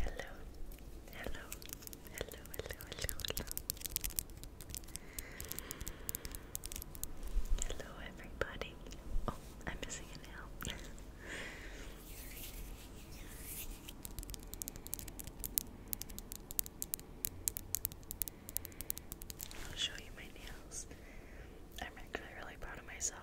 Hello, hello, hello, hello, hello, hello. Hello, everybody. Oh, I'm missing an L. I'll show you my nails. I'm actually really proud of myself.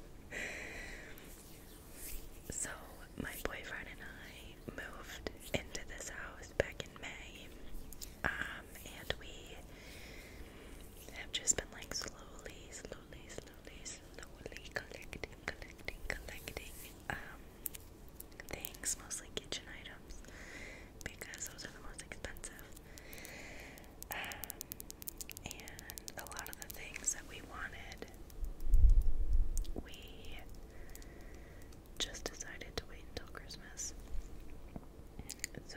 so, my boyfriend and I moved into this house back in May. Um, and we have just been like slowly, slowly, slowly, slowly collecting, collecting, collecting um, things, mostly kitchen items, because those are the most expensive. Um, and a lot of the things that we wanted, we just decided to wait until Christmas. So,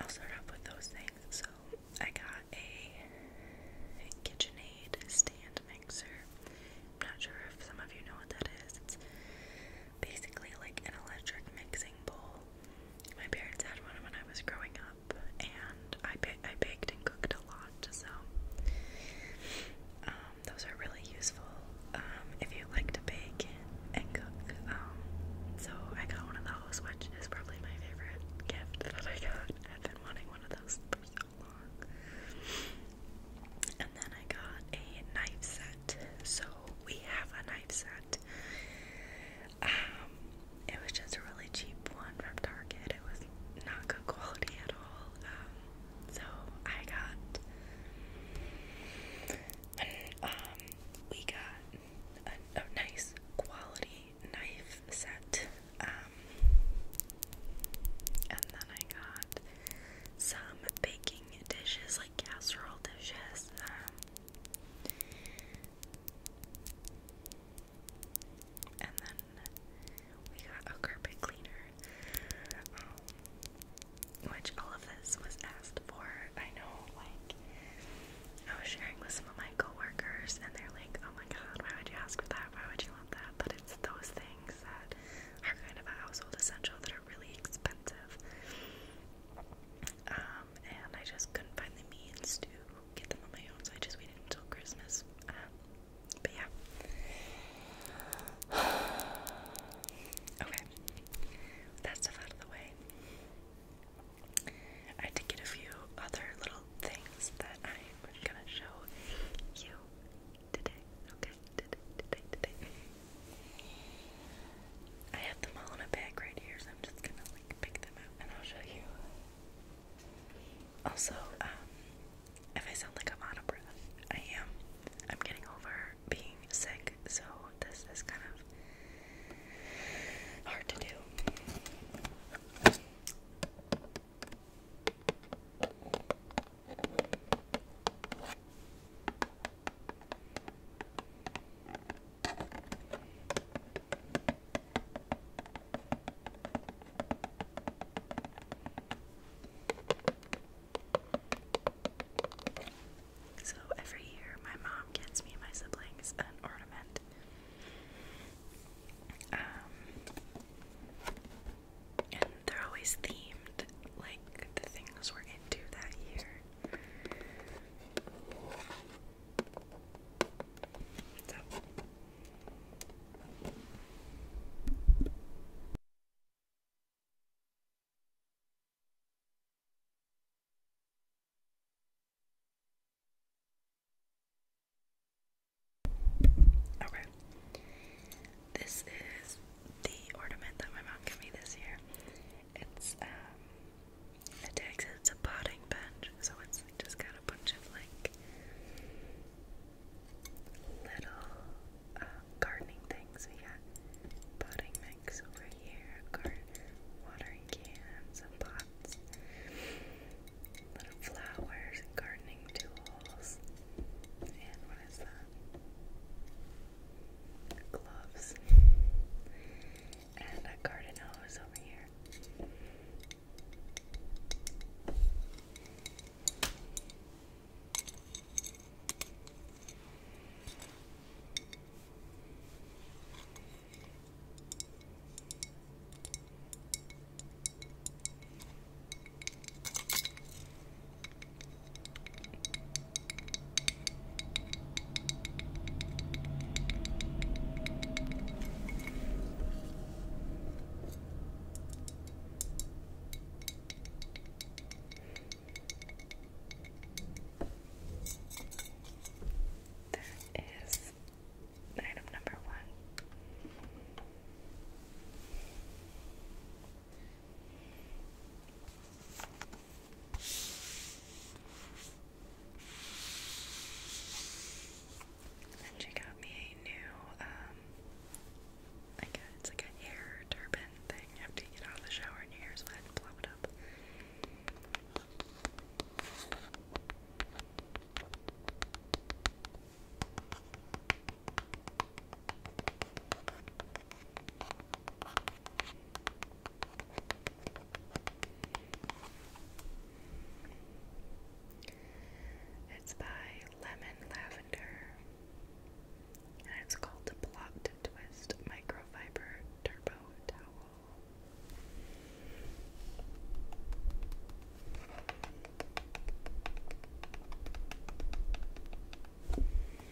I'll start off with those things. So, I got a KitchenAid stand mixer. am not sure if some of you know what that is basically like an electric mixing bowl. My parents had one when I was growing up, and I ba I baked and cooked a lot, so um, those are really useful um, if you like to bake and cook. Um, so I got one of those, which is probably my favorite gift that I got. I've been wanting one of those for so long. And then I got a knife set so we have a knife set. Um, it was just a really cheap one from Target. It was not good quality at all. Um, so I got, um, we got a, nice quality knife set. and then I got some baking dishes casserole dishes. and then we got a carpet cleaner, um, which all of this was asked for. I know, like, I was sharing with some of my coworkers, and they're like, "Oh my God, why would you ask for that? Why would you want that?" But it's those things that are kind of a household essential that are really expensive. Um, and I just couldn't find the means to get them on my own, so I just waited until Christmas. Um, but yeah. okay. That stuff out of the way. I did get a few other little things that I'm gonna show you today. Okay. I have them all in a bag right here, so I'm just gonna like pick them out and I'll show you. Also, um, if I sound like I'm out of breath, I am. I'm getting over being sick, so this is kind of hard to do. So every year, my mom gets me and my siblings an ornament. Um, and they're always themed, like the things we're into that year. Okay. This is the ornament that my mom gave me this year. It's um it takes it's a potting bench, so we just got a bunch of like little um, gardening things. We got potting mix over here, watering cans and pots, little flowers, gardening tools, and what is that? gloves, and a garden hose over here. That is item number one. And she got me a new, um, like it's like a hair turban thing. You have to get out of the shower and your hair's wet and up. It's by Lemon Lavender, and it's called the Blocked Twist Microfiber Turbo Towel.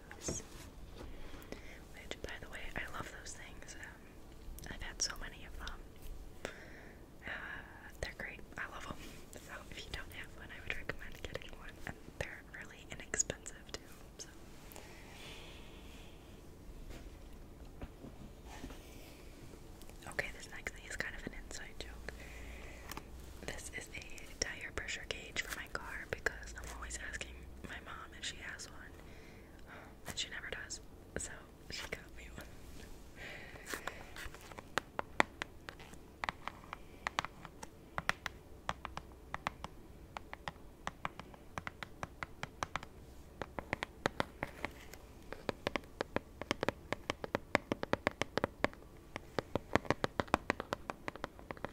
eyebrows. Which, by the way, I love those things. Um, I've had so many of them. Uh, they're great. I love them. So if you don't have one, I would recommend getting one. And they're really inexpensive too. So. Okay, this next thing is kind of an inside joke. This is a tire pressure gauge for my car because I'm always asking my mom if she has one, um, and she never does, so she got me one.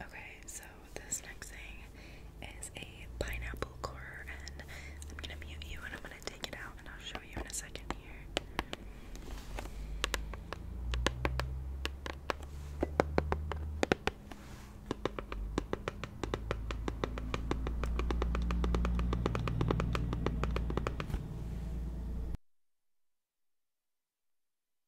Okay, so this next thing is a pineapple core, and I'm gonna mute you and I'm gonna take it out and I'll show you in a second here.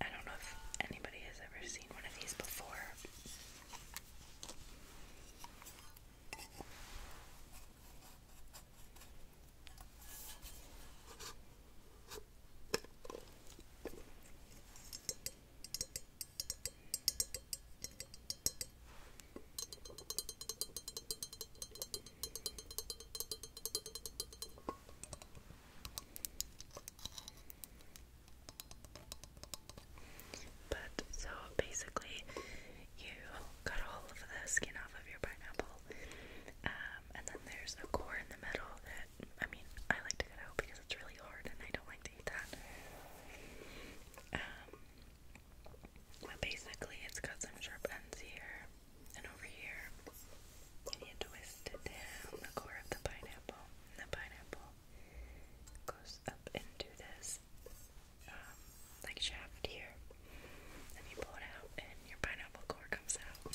I don't know if anybody has ever seen one of these before. But so basically, you cut all of the skin off of your pineapple, um, and then there's a core in the middle that I mean I like to cut out because it's really hard and I don't like to eat that. Um, but basically, it's got some sharp ends here and over here, and you twist it down the core of the pineapple the pineapple goes up into this um, like shaft here. Then you pull it out, and your pineapple core comes out.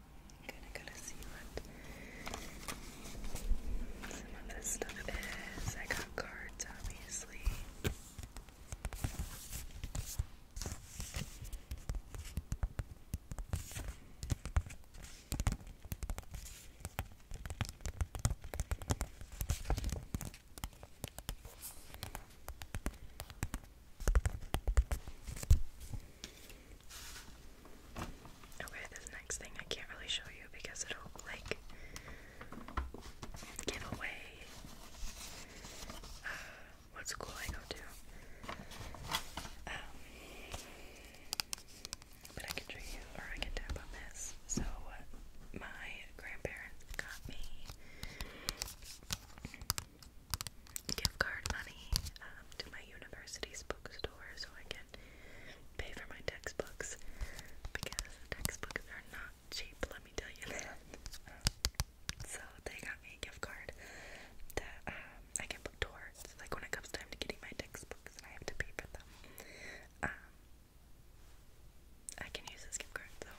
Kinda gotta see what some of this stuff is. I got cards, obviously. Okay, the next thing I can't really show you because it'll like give away uh, what school I go to. Um, but I can show you, or I can tap on this. So uh, my grandparents got me gift card money um, to my university's bookstore so I can pay for my textbooks because textbooks are not cheap, let me tell you So they got me a gift card that um, I can put towards, like when it comes time to getting my textbooks and I have to pay for them. Um, I can use this gift card though.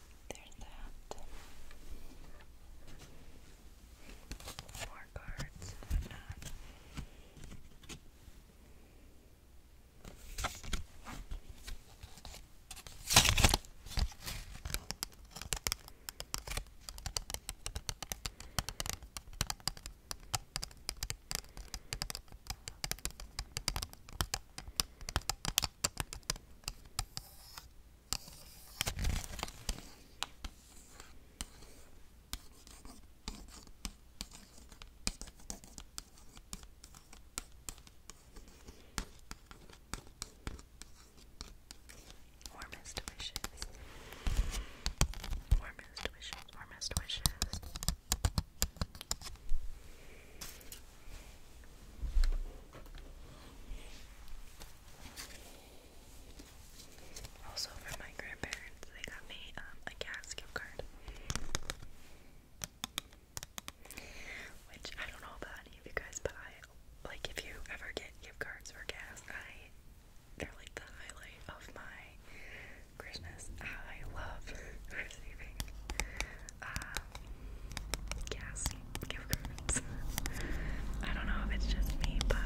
There's that. More cards and whatnot. Warmest wishes. Warmest wishes. Warmest wishes. Also, for my grandparents, they got me um, a Cass gift card. Which, I don't know about any of you guys, but I, like, if you ever get gift cards for Cass, I, they're like the highlight of my Christmas. I love receiving uh, gas gift cards. I don't know if it's just me, but.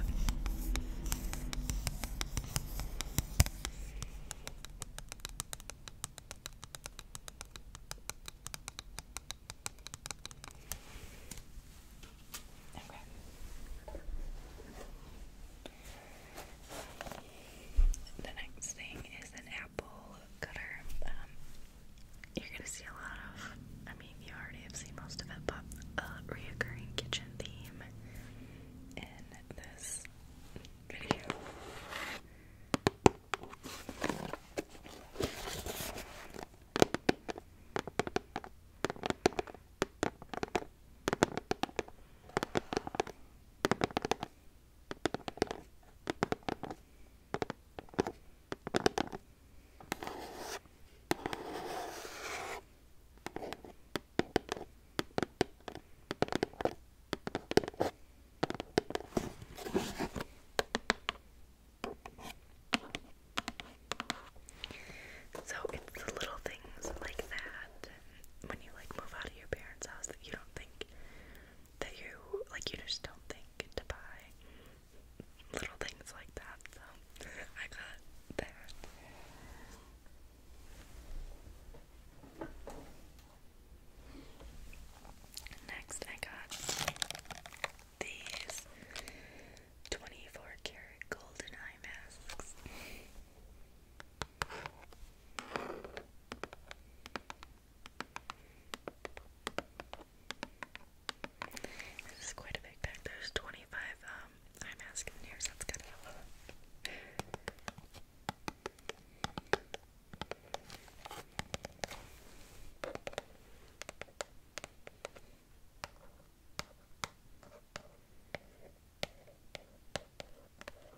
Okay. The next thing is an apple um, you're gonna see a lot of, I mean, you already have seen most of it, but a reoccurring kitchen theme in this video. So it's the little things like that when you like move out of your parents' house that you don't think that you like you just don't think to buy little things like that. So I got that. Next, I got these 24 karat golden eye masks. This is quite a big pack. There's 25 um, eye masks in here, that's kind of a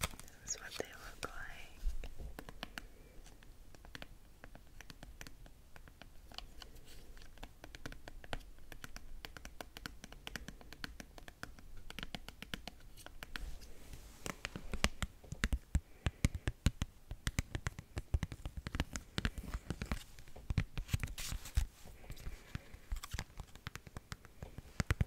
That's what they look like.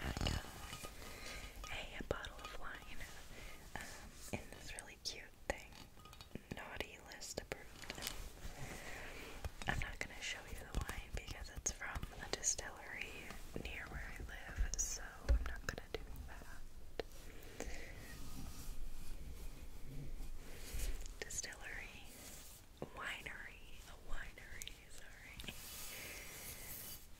I got uh, a bottle of wine in um, this really cute thing. Naughty list approved. I'm not gonna show you the wine because it's from a distillery near where I live, so I'm not gonna do that. Distillery, winery, a winery, sorry.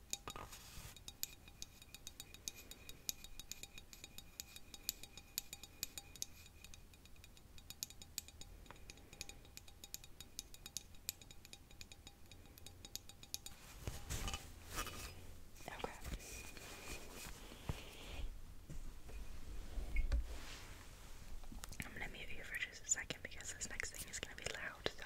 Okay. I'm gonna mute you for just a second because this next thing is gonna be loud, so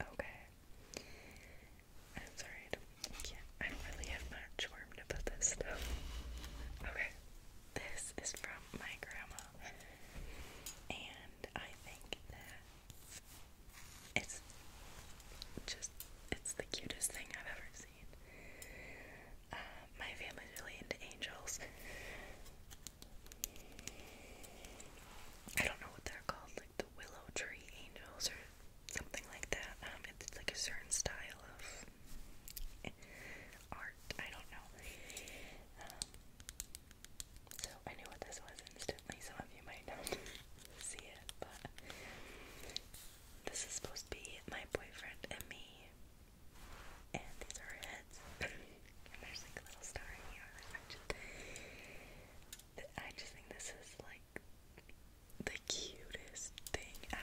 Okay. I'm sorry, I I don't really have much warm to this stuff. Okay. This is from my grandma. And I think that it's just, it's the cutest thing I've ever seen. Uh, my family's really into angels. I don't know what they're called the willow tree angels or something like that. Um, it's like a certain style of art. I don't know. Um, so I knew what this was instantly. Some of you might not see it, but this is supposed to be my boyfriend and me. And these are heads. and there's like a little star in the other I just think this is like the cutest thing ever.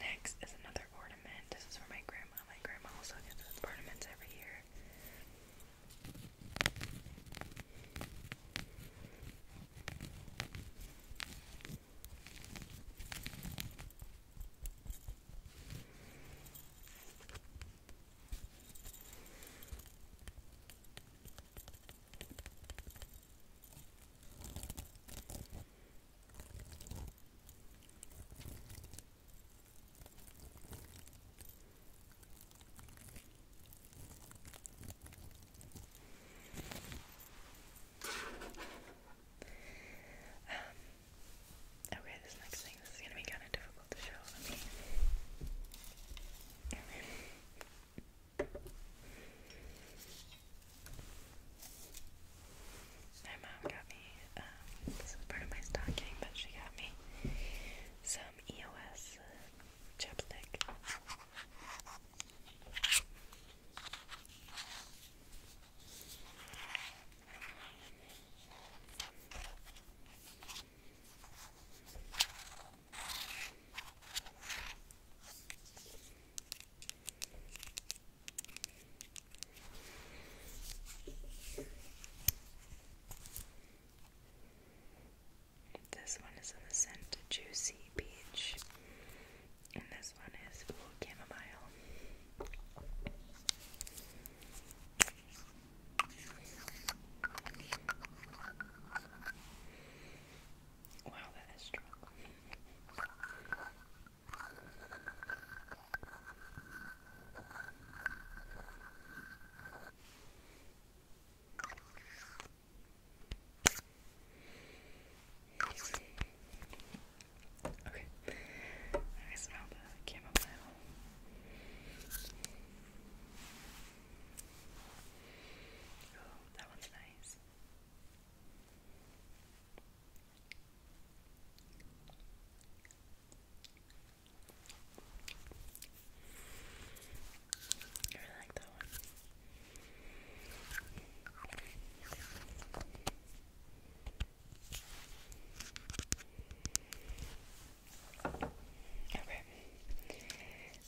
Next is another ornament. This is for my grandma. My grandma also gets those ornaments every year. Um, okay, this next thing, is gonna be kind of difficult to show. Let me. My mom got me, um, this is part of my stocking, but she got me some EOS uh, this one is in the scent Juicy Peach, and this one is chamomile. Wow, that is strong. Okay. I smell the chamomile. Oh, that one's nice. I really Okay.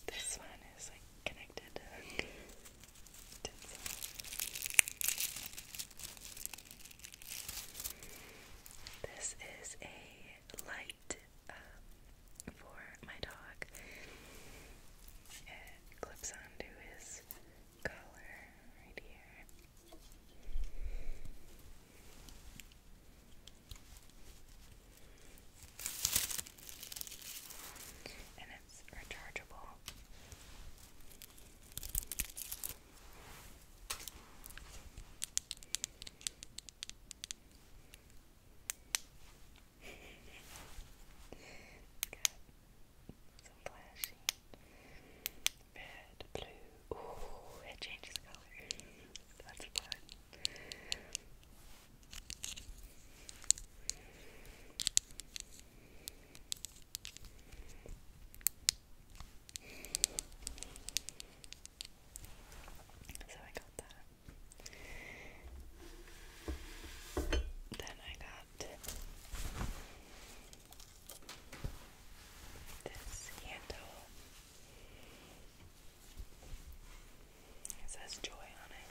This one is like connected. This is a light um, for my dog. It clips onto his collar right here. And magnets are chargeable. flashy red, blue. Ooh, it changes color. That's fun. So I got that. Then I got this hand It says joy on it.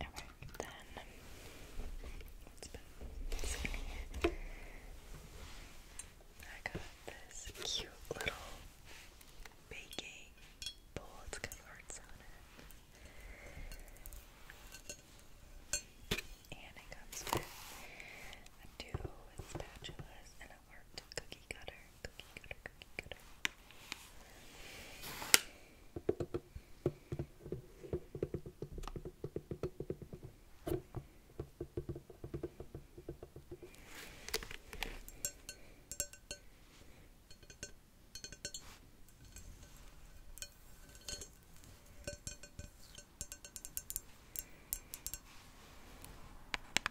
Okay, then it's been I got this cute little baking bowl. It's got hearts on it. And it comes with two spatulas that worked. Cookie cutter, cookie cutter, cookie cutter.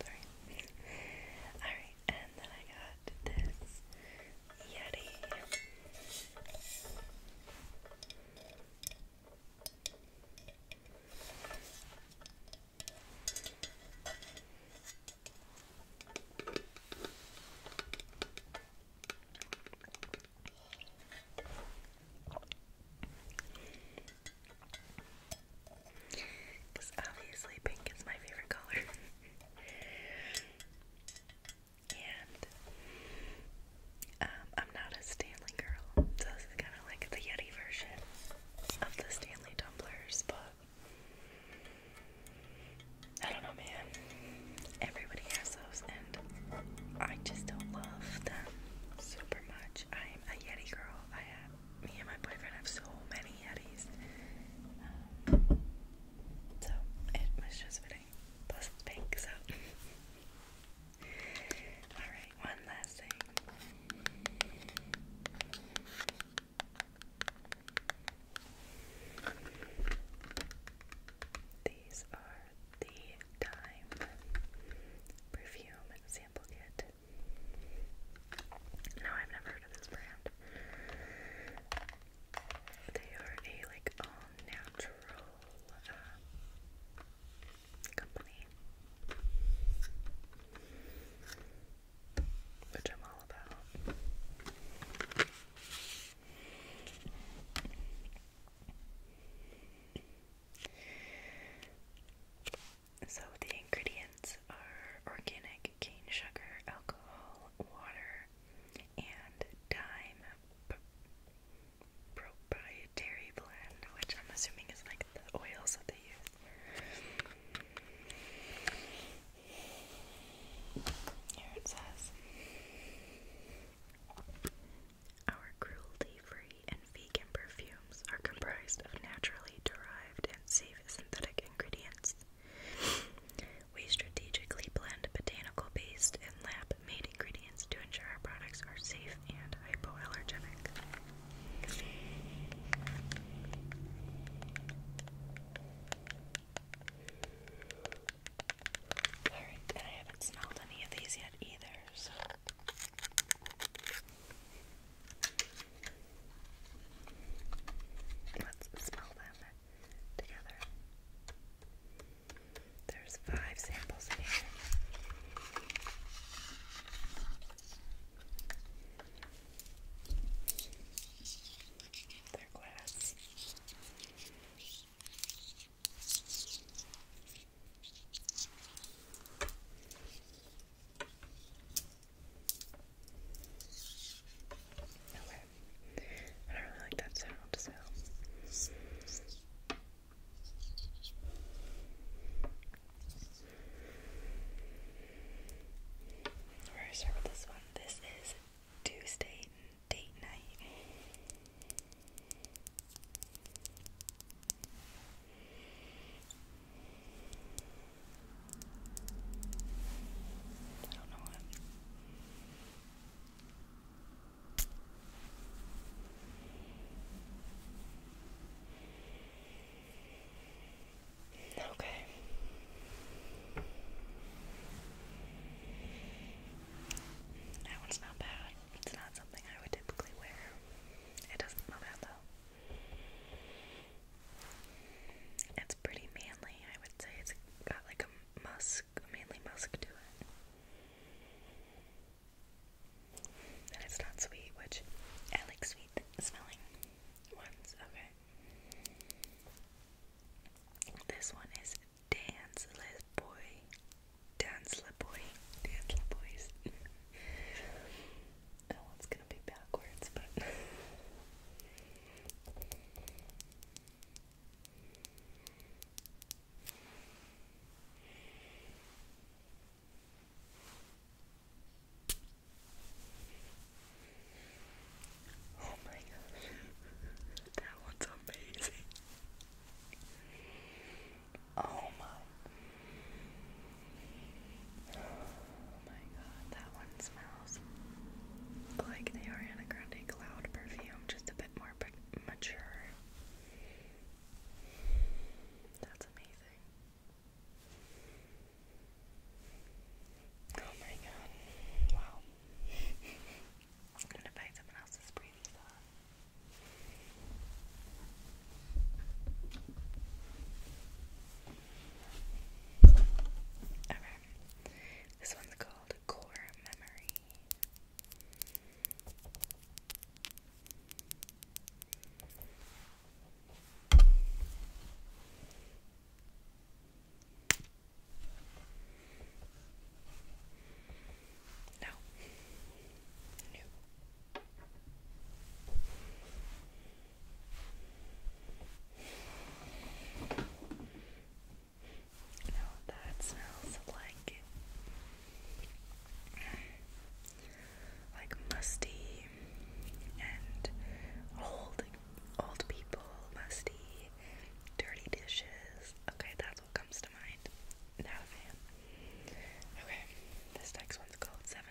Sorry. Alright, and then I got this Yeti. Because obviously pink is my favorite color. and um, I'm not a Stanley girl, so this is kind of like the Yeti version of the Stanley tumblers, but I don't know, man. Everybody has those, and I just don't love them super much. I'm a Yeti girl. I have me and my boyfriend have so many Yetis. Um, so it was just fitting. Plus it's so. Alright, one last thing. These are the Dime Perfume Sample Kit. No, I've never heard of this brand. They are a like all natural uh, company, which I'm all about. So the ingredients are organic cane sugar, alcohol, water, and thyme proprietary blend, which I'm assuming is like the oils that they use. Here it says Our cruelty free and vegan perfume mushrooms are comprised of naturally derived and safe synthetic ingredients. We strategically blend botanical based and lab made ingredients to ensure our products are safe and hypoallergenic. Alright, and I haven't smelled any of these yet either, Let's smell them together. There's five samples in here. They're glass. Okay. I don't really like that sound, so. We're to start this one. This is Tuesday date night. I do Okay. That one's not bad. It's not something I would typically wear. It doesn't smell bad though. It's pretty manly, I would say. It's got like a musk, a manly musk to it. And it's not sweet, which I like sweet smelling ones. Okay. This one is Dance Lip Boy. Dance Lip Boy. Dance Lip Boys. it's gonna be backwards, but. Oh my gosh, that one's amazing. Oh my Oh my god, that one smells like the Ariana Grande Cloud perfume, just a bit more mature. That's amazing. Oh my god. Wow. Okay. This one's called Core Memory. No. No. Now that smells like like musty and old old people, musty, dirty dishes. Okay, that's what comes to mind. Not a fan. Okay, this next one's called Seven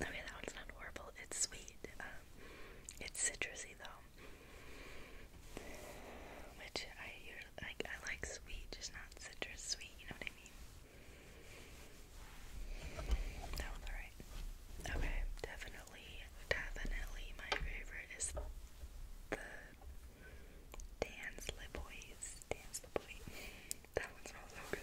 Okay, that one's not horrible. It's sweet. Um, it's citrusy though, which I like. I like sweet, just not citrus sweet. You know what I mean? That one's alright. Okay, definitely, definitely, my favorite is the Dan's Le Boys. Dan's Le Boy that one smells so good.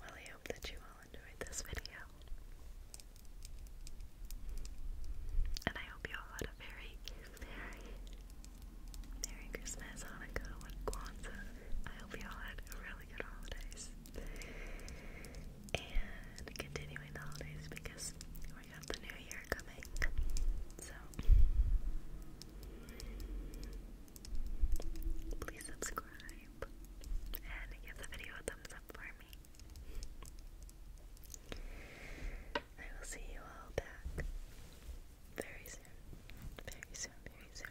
Well, I hope that you all enjoyed this video. And I hope you all had a very, Merry Christmas, Hanukkah, and Kwanzaa. I hope you all had really good holidays and continuing the holidays because we got the new year coming. So, please subscribe and give the video a thumbs up for me. I will see you all back very soon. Very soon, very soon.